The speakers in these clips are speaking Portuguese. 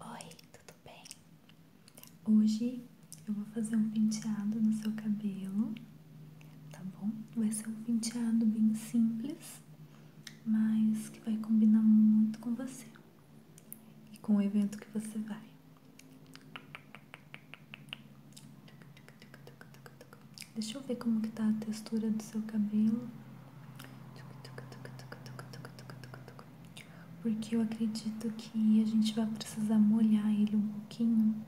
Oi, tudo bem? Hoje eu vou fazer um penteado no seu cabelo, tá bom? Vai ser um penteado bem simples, mas que vai combinar muito com você e com o evento que você vai. Deixa eu ver como que tá a textura do seu cabelo. Porque eu acredito que a gente vai precisar molhar ele um pouquinho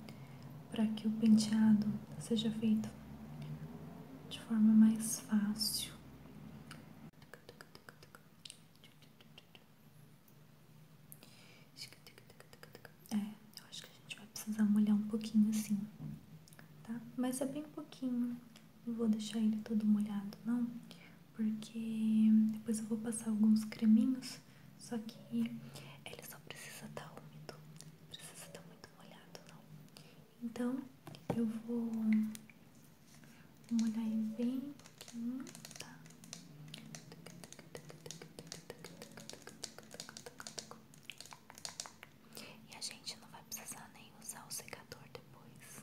para que o penteado seja feito de forma mais fácil. É, eu acho que a gente vai precisar molhar um pouquinho assim, tá? Mas é bem pouquinho. Não vou deixar ele todo molhado, não, porque depois eu vou passar alguns creminhos, só que ele só precisa estar tá úmido, não precisa estar tá muito molhado, não. Então eu vou molhar ele bem pouquinho, tá? E a gente não vai precisar nem usar o secador depois.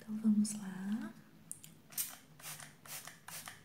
Então vamos lá.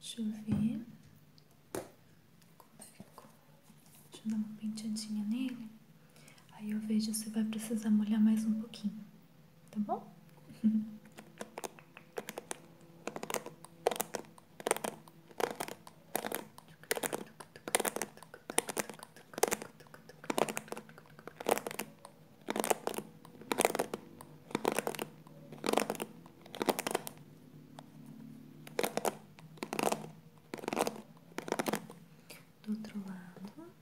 Deixa eu ver como ficou. Deixa eu dar uma penteadinha nele. Aí eu vejo se vai precisar molhar mais um pouquinho, tá bom? do outro lado.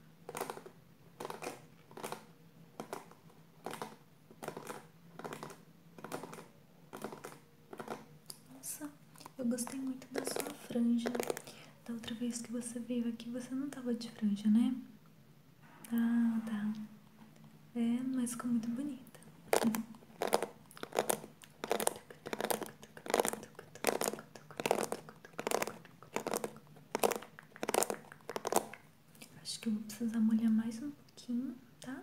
Nossa, eu gostei muito da sua franja. Da outra vez que você veio aqui, você não tava de franja, né? Ah, tá. É, mas ficou muito bonita. Acho que vou precisar molhar mais um pouquinho, tá?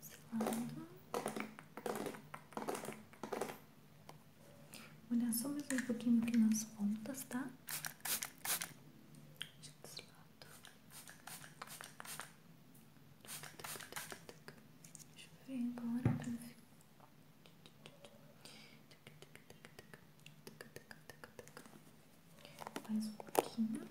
Esse lado. Vou só mais um pouquinho aqui nas pontas, tá? Deixa eu ver agora pra ver. Mais um pouquinho.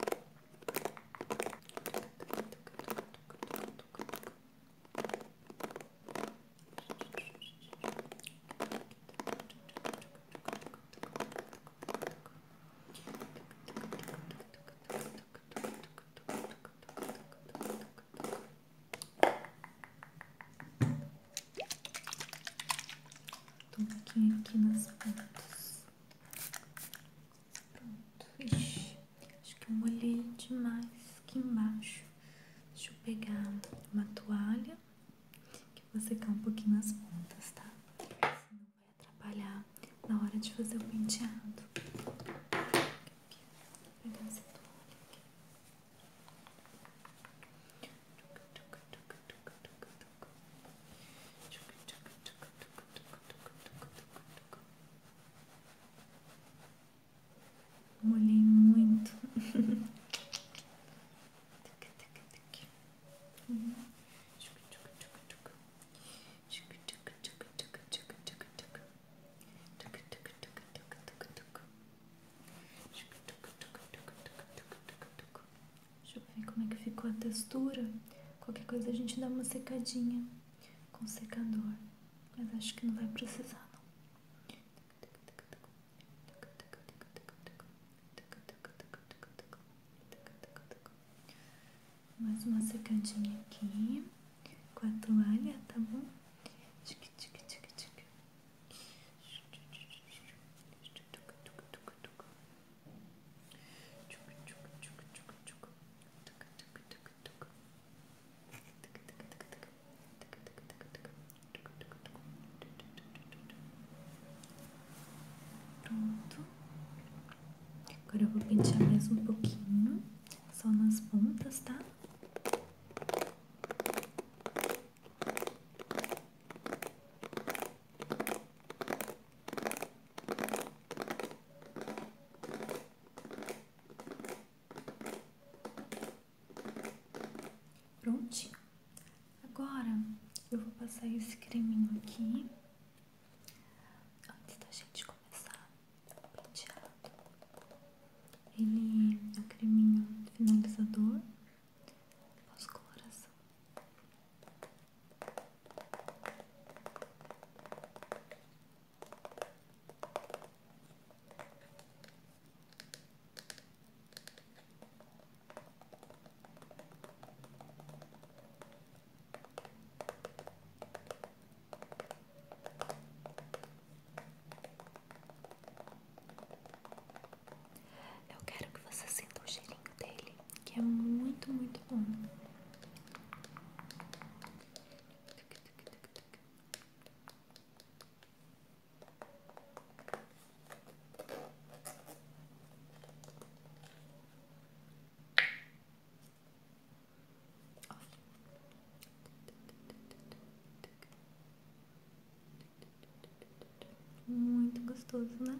トマケーキのサラダです。Pronto, acho que eu molhei demais aqui embaixo. Deixa eu pegar uma toalha que eu vou secar um pouquinho as pontas, tá? Senão vai atrapalhar na hora de fazer o penteado. Aqui, vou pegar essa toalha aqui. Deixa Molhei muito. Deixa eu ver como é que ficou a textura. Qualquer coisa a gente dá uma secadinha com secador, mas acho que não vai precisar não. Mais uma secadinha aqui com a toalha, tá bom? Pronto. Agora eu vou pentear mais um pouquinho, só nas pontas, tá? Pronto. Prontinho. Agora eu vou passar esse creminho aqui. Antes da gente começar o penteado. Ele é um creminho finalizador pós-coloração. Eu quero que você sinta o cheirinho dele, que é muito, muito bom. Muito gostoso, né?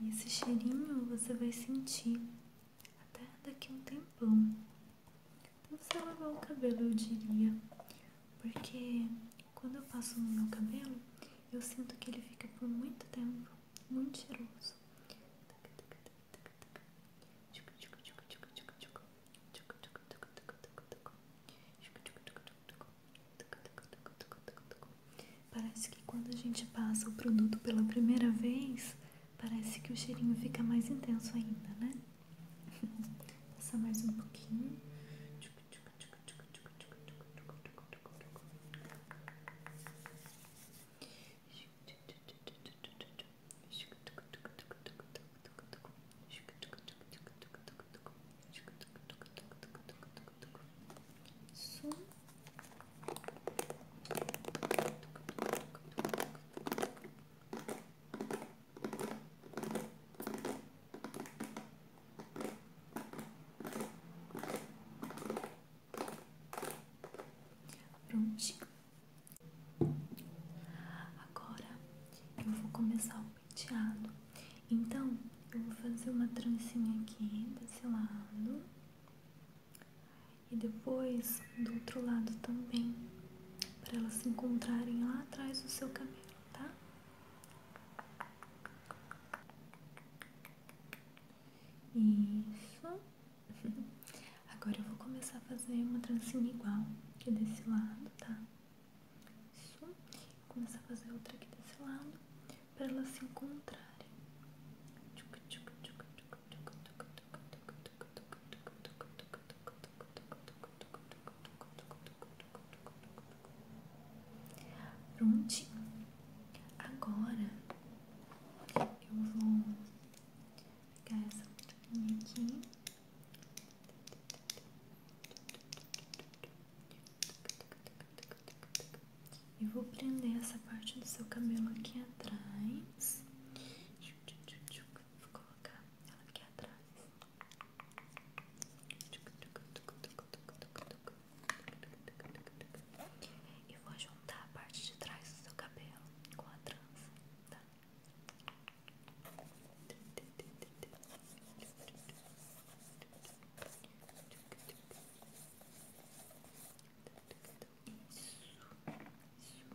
E esse cheirinho você vai sentir até daqui um tempão. Então você lavar o cabelo, eu diria. Porque quando eu passo no meu cabelo, eu sinto que ele fica por muito tempo muito cheiroso. Parece que quando a gente passa o produto pela primeira vez, parece que o cheirinho fica mais intenso ainda, né? Passar mais um pouquinho. Isso. Prontinho. Agora eu vou começar o penteado. Então eu vou fazer uma trancinha aqui desse lado. E depois do outro lado também, para elas se encontrarem lá atrás do seu cabelo, tá? Isso. Agora eu vou começar a fazer uma trancinha igual aqui desse lado, tá? Isso. Vou começar a fazer outra aqui desse lado para elas se encontrarem. Prontinho. Agora eu vou pegar essa bolinha aqui. E vou prender essa parte do seu cabelo aqui atrás. Vou colocar ela aqui atrás. E vou juntar a parte de trás do seu cabelo com a trança, tá? Vou isso.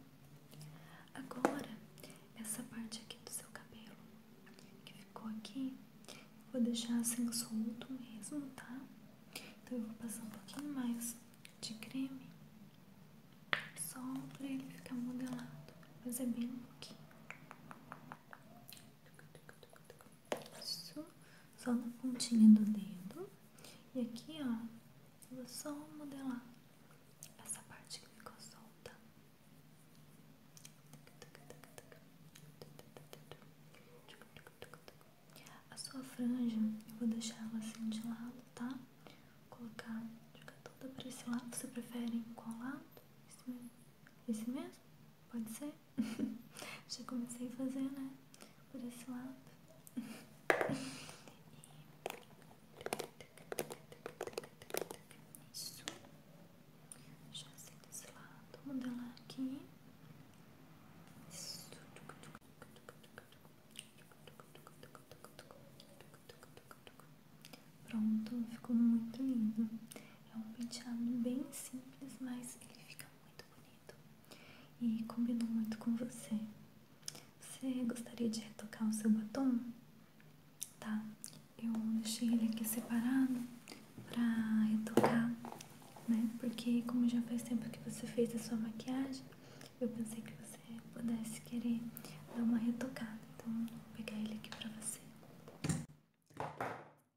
Agora, essa parte aqui do seu cabelo que ficou aqui, eu vou deixar assim solto mesmo, tá? Então eu vou passar um pouquinho mais de creme só pra ele ficar modelado, mas é bem um pouquinho. Isso, só na pontinha do dedo. E aqui, ó, vou só modelar essa parte que ficou solta. A sua franja, eu vou deixar ela assim de lado, tá? colocar colocar, jogar toda pra esse lado. Você prefere qual lado? Esse mesmo? Esse mesmo? Pode ser? Já comecei a fazer, né? Por esse lado. Isso. Já sei desse lado. Modelar aqui. Isso. Pronto, ficou muito lindo. É um penteado bem simples, mas ele fica muito bonito e combinou muito com você. Você gostaria de retocar o seu batom? Tá, eu deixei ele aqui separado para retocar, né? Porque, como já faz tempo que você fez a sua maquiagem, eu pensei que você pudesse querer dar uma retocada. Então, vou pegar ele aqui para você.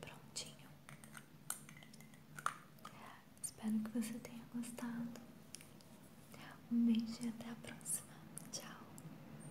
Prontinho. Espero que você tenha gostado. Um beijo e até a próxima. Tchau.